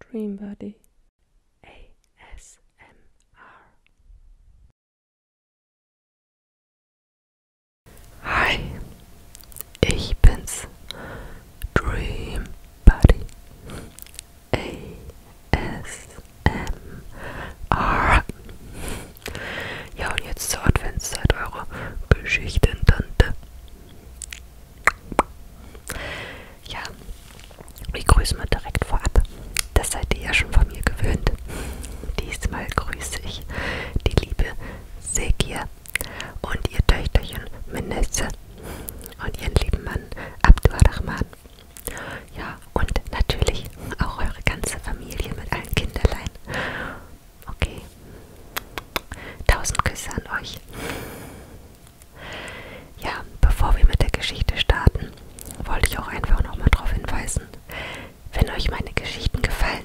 Dreambody ASMR. Hi, ich bin's, Dreambody ASMR. Ja, und jetzt zur Adventszeit eure Geschichtentante. Ja, ich grüße mal direkt vorab. Das seid ihr ja schon von mir gewöhnt. Diesmal grüße ich die liebe Sekir und ihr Töchterchen Minesse und ihren lieben Mann Abdurrahman. Ja, und natürlich auch eure ganze Familie mit allen Kinderlein. Okay, Tausend Küsse an euch. Ja, bevor wir mit der Geschichte starten, wollte ich auch einfach nochmal darauf hinweisen, wenn euch meine Geschichten gefallen,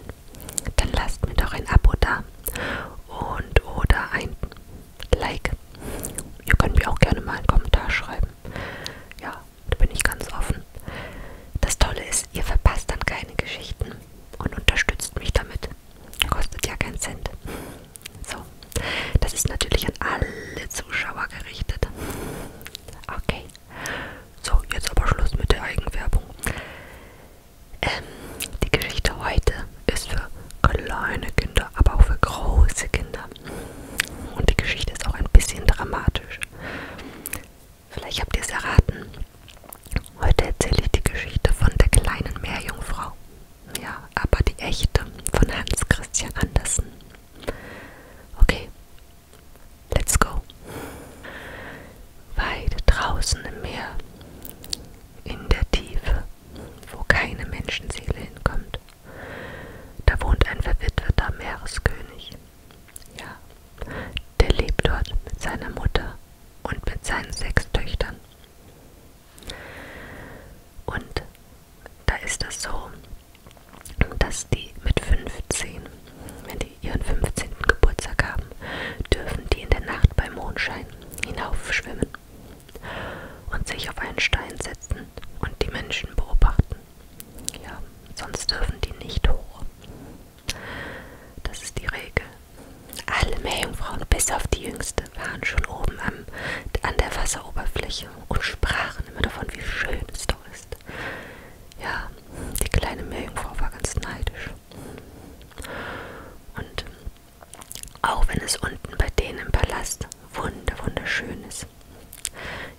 dann lasst mir doch ein Abo da und oder ein Like. Ihr könnt mir auch gerne mal einen Kommentar schreiben. Ja, da bin ich ganz offen. Das Tolle ist, ihr verpasst dann keine Geschichten und unterstützt mich damit, Kostet ja keinen Cent. So, das ist natürlich an alle Zuschauer gerichtet. Okay. So, jetzt aber Schluss mit der Eigenwerbung. Ähm, die Geschichte heute ist für kleine Kinder, aber auch für große Kinder. Und die Geschichte ist auch ein bisschen dramatisch. Vielleicht habt ihr es erraten. Heute erzähle ich die Geschichte von der kleinen Meerjungfrau. Ja, aber die echte von Hans Christian Andersen. Okay, let's go. Weit draußen im Meer, in der Tiefe, wo keine Menschenseele hinkommt, da wohnt ein verwitweter Meereskönig. Ja, der lebt dort mit seiner Mutter und mit seinen sechs Töchtern. Und da ist das so, dass die mit 15, wenn die ihren 15. Geburtstag haben, dürfen die in der Nacht bei Mondschein hinaufschwimmen und sich auf einen Stein setzen und die Menschen beobachten. Ja, sonst dürfen die nicht hoch. Das ist die Regel. Alle Meerjungfrauen, bis auf die jüngste, waren schon oben am, an der Wasseroberfläche und sprachen immer davon, wie schön es doch ist. Ja, die kleine Meerjungfrau war ganz neidisch. Und auch wenn es unten bei denen im Palast wunder wunderschön ist.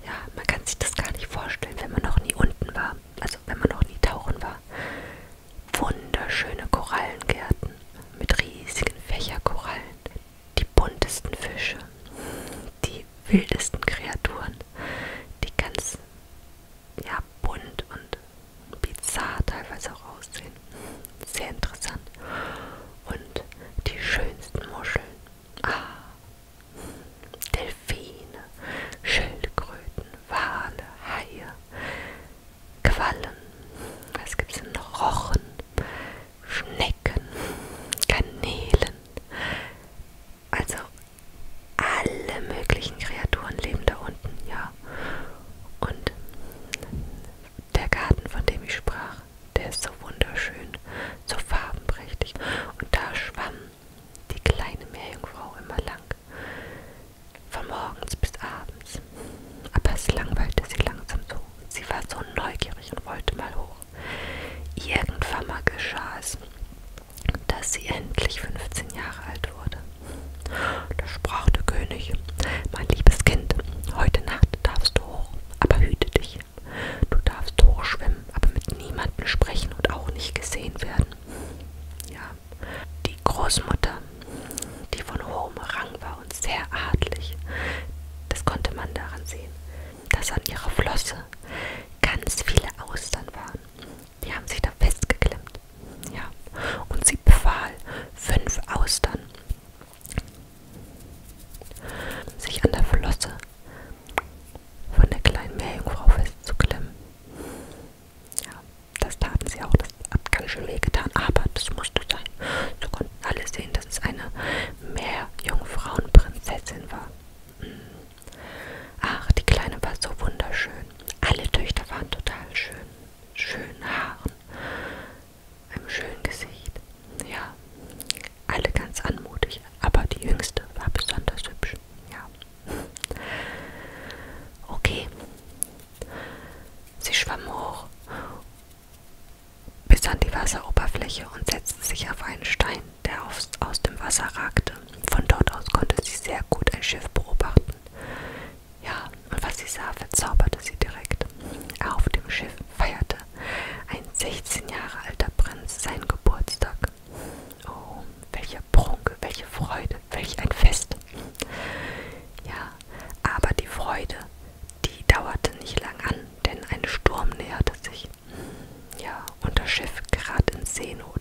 Ja, man kann sich das gar nicht vorstellen, wenn man noch nie unten war. Also wenn man noch nie tauchen war wunderschöne Korallengärten mit riesigen Fächerkorallen, die buntesten Fische, die wildesten Kreaturen, die ganz ja, bunt und bizarr teilweise auch aussehen. Sehr interessant. Und die schönsten Muscheln. Ah, Delfine, Schildkröten, Wale, Haie, Quallen, was gibt's denn noch? Rochen, Schnecken, Kanälen. Also alle möglichen Kreaturen leben da unten, ja. Und der Garten, von dem ich sprach, der ist so wunderschön, so farbenprächtig. Und da schwammen die kleine Meerjungfrau immer lang, von morgens bis abends. Aber es langweilte sie langsam so. Sie war so neugierig und wollte mal hoch. Irgendwann mal geschah es, dass sie endlich 15 Jahre alt wurde. Da sprach der König, mein liebes Kind, heute Nacht darfst du hoch, aber hüte dich. Du darfst hochschwimmen, aber mit niemandem sprechen und auch nicht gesehen werden. Ja, die Großmutter, die von hohem Rang war und sehr adlig, das konnte man daran sehen, dass an ihrer Flosse ganz viele Austern waren. Die haben sich da festgeklemmt. Ja, und sie befahl fünf Austern, sich an der Flosse von der kleinen Meerjungfrau festzuklemmen. Ja, das taten sie auch. Das hat ganz schön weh getan, aber das musste sein. So konnten alle sehen, dass es eine Meerjungfrauenprinzessin war. Ach, die Kleine war so wunderschön. Alle Töchter waren total schön. Schönen Haaren, einem schönen Gesicht. Ja, alle ganz anmutig. Aber die Jüngste war besonders hübsch. Ja. Okay. Sie schwamm hoch bis an die Wasseroberfläche und setzte sich auf einen Stein, der aus, aus dem Wasser ragte. Von dort aus konnte sie sehr gut ein Schiff beobachten. Ja, und was sie sah, verzauberte sie direkt. Auf dem Schiff feierte ein 16 Jahre alter Prinz seinen Geburtstag. Oh, welche Prunk, welche Freude, welch ein Fest. Ja, aber die Freude, die dauerte nicht lang an, denn ein Sturm näherte sich. Ja, und das Schiff gerät in Seenot.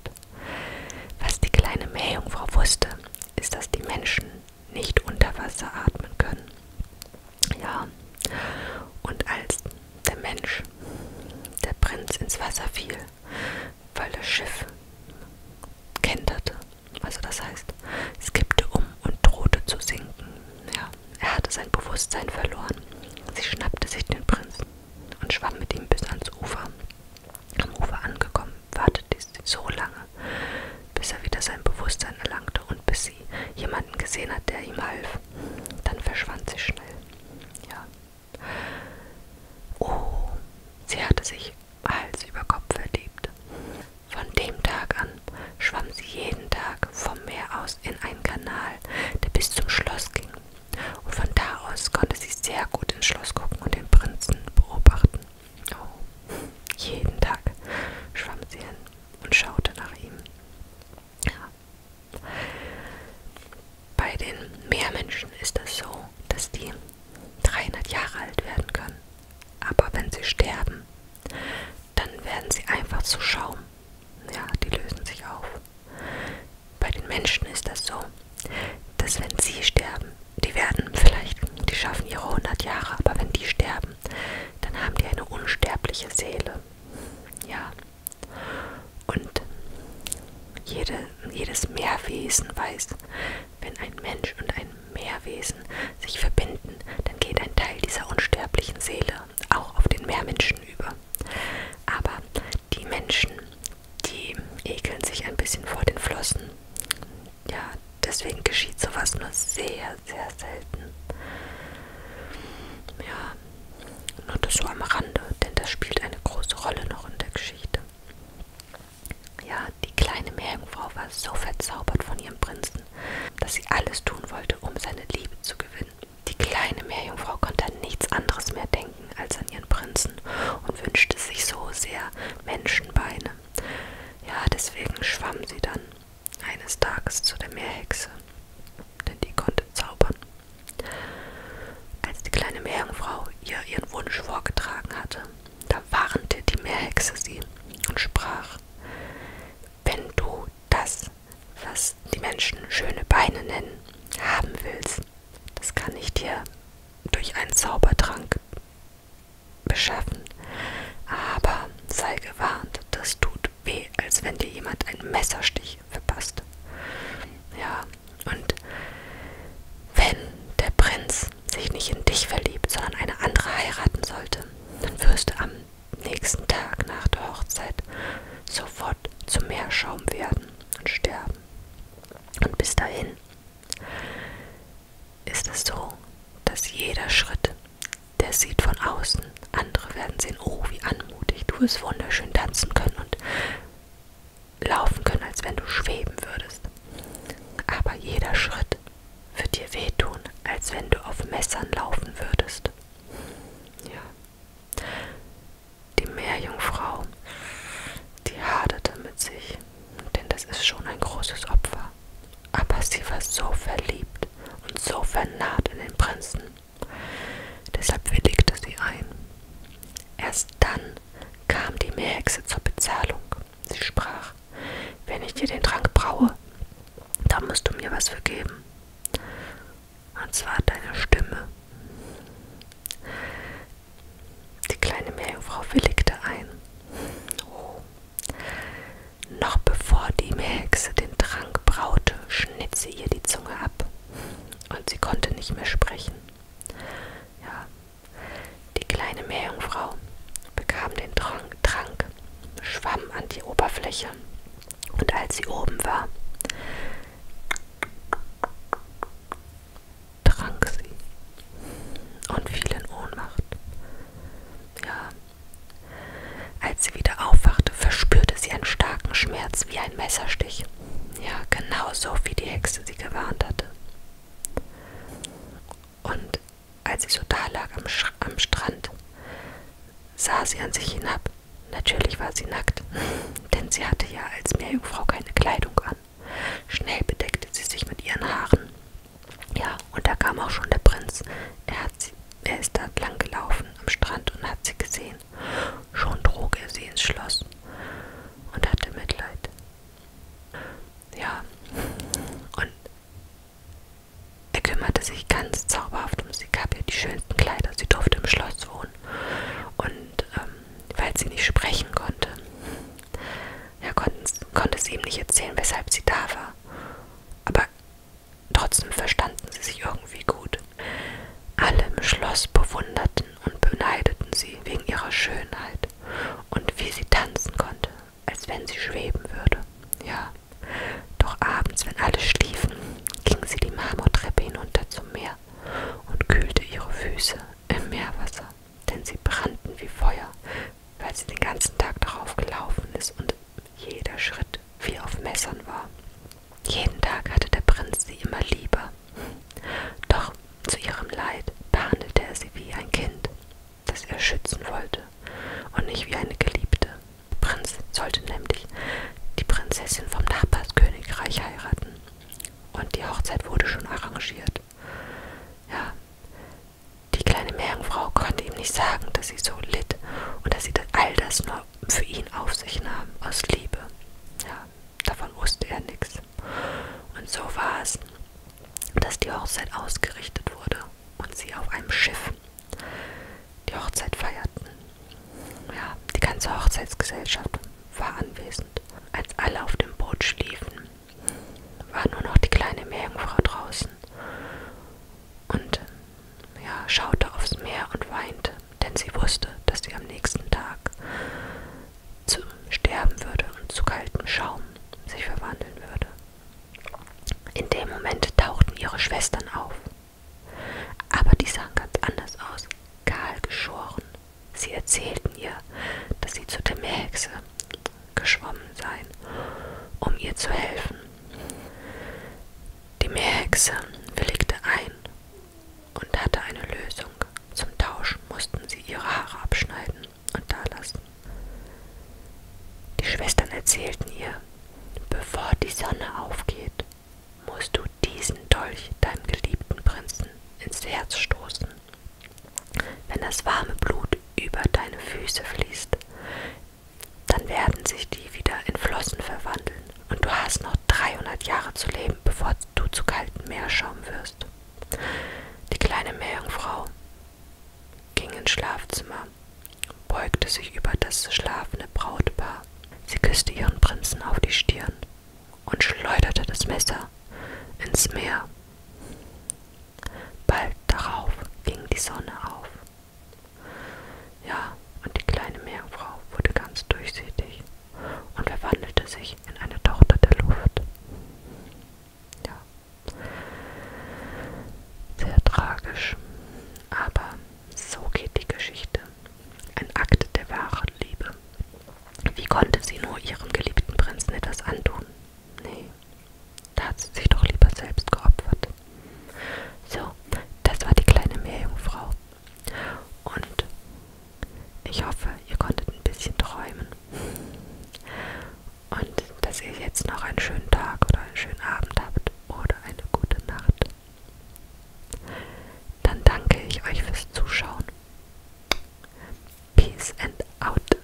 Was die kleine Meerjungfrau wusste, ist, dass die Menschen nicht unter Wasser atmen können. Ja, und als der Mensch, der Prinz, ins Wasser fiel, weil das Schiff kenterte. Also das heißt, es kippte um und drohte zu sinken. Ja, er hatte sein Bewusstsein verloren. Sie schnappte sich den Prinzen und schwamm mit ihm bis ans Ufer. Am Ufer angekommen, wartete sie so lange, bis er wieder sein Bewusstsein erlangte und bis sie jemanden gesehen hat, der ihm half. Dann verschwand sie schnell. Ja, Oh, sie hatte sich Hals über Kopf verliebt. Von dem Tag an schwamm sie jeden Tag vom Meer aus in einen Kanal, der bis zum Schloss ging. Und von da aus konnte sie sehr gut ins Schloss gucken und den Prinzen beobachten. Oh, jeden Tag schwamm sie hin und schaute nach ihm. Bei den Meermenschen ist es so, dass die 300 Jahre alt werden können. Aber wenn sie sterben, dann werden sie einfach zu Schaum. Ja, die lösen sich auf. Bei den Menschen ist das so, dass wenn sie sterben, die werden vielleicht, die schaffen ihre 100 Jahre, aber wenn die sterben, dann haben die eine unsterbliche Seele. Ja, und jede, jedes Meerwesen weiß, wenn ein Mensch und ein Meerwesen sich verbinden, dann geht ein Teil dieser unsterblichen Seele auch auf den Meermenschen über. Aber die Menschen, die ekeln sich ein bisschen vor den Flossen. Ja, deswegen geschieht sowas nur sehr, sehr selten. Ja, nur das so am Rande, denn das spielt eine große Rolle noch in der Geschichte. Ja, die kleine Meerjungfrau war so verzaubert von ihrem Prinzen, dass sie alles tun wollte, um seine Liebe zu gewinnen. Die kleine Meerjungfrau konnte an nichts anderes mehr denken als an ihren Prinzen und wünschte sich so sehr Menschenbeine. Ja, deswegen schwamm sie dann eines Tages zu der Meerhexe, denn die konnte zaubern. Als die kleine Meerjungfrau ihr ihren Wunsch vorgetragen hatte, da warnte die Meerhexe sie und sprach, wenn du das, was die Menschen schöne Beine nennen, haben willst, das kann ich dir durch einen Zaubertrank beschaffen. Aber sei gewarnt, das tut weh, als wenn dir jemand ein Messer sticht nicht verpasst. Ja, und wenn der Prinz sich nicht in dich verliebt, sondern eine andere heiraten sollte, dann wirst du am nächsten Tag nach der Hochzeit sofort zu Meerschaum werden und sterben. Und bis dahin ist es so, dass jeder Schritt, der sieht von außen. Andere werden sehen, oh, wie anmutig, du wirst wunderschön tanzen können und laufen können, als wenn du schweben würdest. Aber jeder Schritt wird dir wehtun, als wenn du auf Messern laufen würdest. Ja. Die Meerjungfrau, die haderte mit sich, denn das ist schon ein großes Opfer. Aber sie war so verliebt und so vernarrt in den Prinzen, Deshalb willigte sie ein. Erst dann kam die Meerhexe zur Bezahlung. Sie sprach, wenn ich dir den Trank braue, dann musst du mir was vergeben. Und zwar deine Stimme. Die kleine Meerjungfrau willigte ein. Oh. Noch bevor die Hexe den Trank braute, schnitt sie ihr die Zunge ab und sie konnte nicht mehr sprechen. Ja, die kleine Meerjungfrau bekam den Trank, Trank, schwamm an die Oberfläche und als sie oben war, trank sie und fiel in Ohnmacht. Ja, als sie wieder aufwachte, verspürte sie einen starken Schmerz wie ein Messerstich. Ja, genau so, wie die Hexe sie gewarnt hatte. Und als sie so da lag am, Sch am Strand, sah sie an sich hinab. Natürlich war sie nackt, denn sie hatte ja als Meerjungfrau keine Kleidung an. Schnell bedeckte sie sich mit ihren Haaren. Ja, und da kam auch schon der Prinz. Er hat sie er ist dort lang gelaufen am Strand und hat sie gesehen. Schon trug er sie ins Schloss und hatte Mitleid. Ja, und er kümmerte sich ganz zauberhaft um sie, gab ihr die schönsten Kleider. Sie durfte im Schloss wohnen. Und ähm, weil sie nicht sprechen konnte, ja, konnte sie ihm nicht erzählen, weshalb sie da war. Aber Trotzdem verstanden sie sich irgendwie gut. Alle im Schloss bewunderten und beneideten sie wegen ihrer Schönheit und wie sie tanzen konnte, als wenn sie schweben würde. Ja, doch abends, wenn alle schliefen, ging sie die Marmortreppe hinunter zum Meer und kühlte ihre Füße im Meerwasser, denn sie brannten wie Feuer, weil sie den ganzen Tag darauf gelaufen ist und jeder Schritt wie auf Messern war. Jeden Tag hatte der Prinz sie immer lieber. Doch zu ihrem Leid behandelte er sie wie ein Kind, das er schützen wollte, und nicht wie eine Geliebte. Der Prinz sollte nämlich die Prinzessin vom Nachbarskönigreich heiraten. Und die Hochzeit wurde schon arrangiert. Ja, die kleine Meerjungfrau konnte ihm nicht sagen, dass sie so litt und dass sie all das nur für ihn auf sich nahm, aus Liebe. Ja, davon wusste er nichts. Und so war es, dass die Hochzeit ausgerichtet wurde und sie auf einem Schiff die Hochzeit feierten. Ja, die ganze Hochzeitsgesellschaft war anwesend. Als alle auf dem Boot schliefen, war nur noch die kleine Meerjungfrau draußen und ja, schaute aufs Meer und weinte, denn sie wusste, dass sie am nächsten Tag zu sterben würde und zu kaltem Schaum sich verwandeln würde. In dem Moment tauchten ihre Schwestern auf. Aber die sahen ganz anders aus, kahl geschoren. Sie erzählten ihr, dass sie zu der Meerhexe geschwommen sein, um ihr zu helfen. Die Meerhexe willigte ein und hatte eine Lösung. Zum Tausch mussten sie ihre Haare abschneiden und dalassen. Die Schwestern erzählten ihr, bevor die Sonne aufgeht, musst du diesen Dolch deinem geliebten Prinzen ins Herz stoßen. Wenn das warme Blut über deine Füße fließt, dann werden sich die wieder in Flossen verwandeln und du hast noch 300 Jahre zu leben, bevor du zu kaltem Meerschaum wirst. Die kleine Meerjungfrau ging ins Schlafzimmer, beugte sich über das schlafende Brautpaar. Sie küsste ihren Prinzen auf die Stirn und schleuderte das Messer ins Meer. Bald darauf ging die Sonne auf. Ja, und die kleine Meerfrau wurde ganz durchsichtig und verwandelte sich in eine Tochter der Luft. Ja, sehr tragisch, aber so geht die Geschichte. Ein Akt der wahren Liebe. Wie konnte sie nur ihrem geliebten Prinzen etwas antun? Nee, da hat sie sich doch lieber selbst geopfert. So, das war die kleine Meerjungfrau. Und ich hoffe, ihr konntet ein bisschen träumen. Und dass ihr jetzt noch einen schönen Tag oder einen schönen Abend habt oder eine gute Nacht. Dann danke ich euch fürs Zuschauen. Peace and out.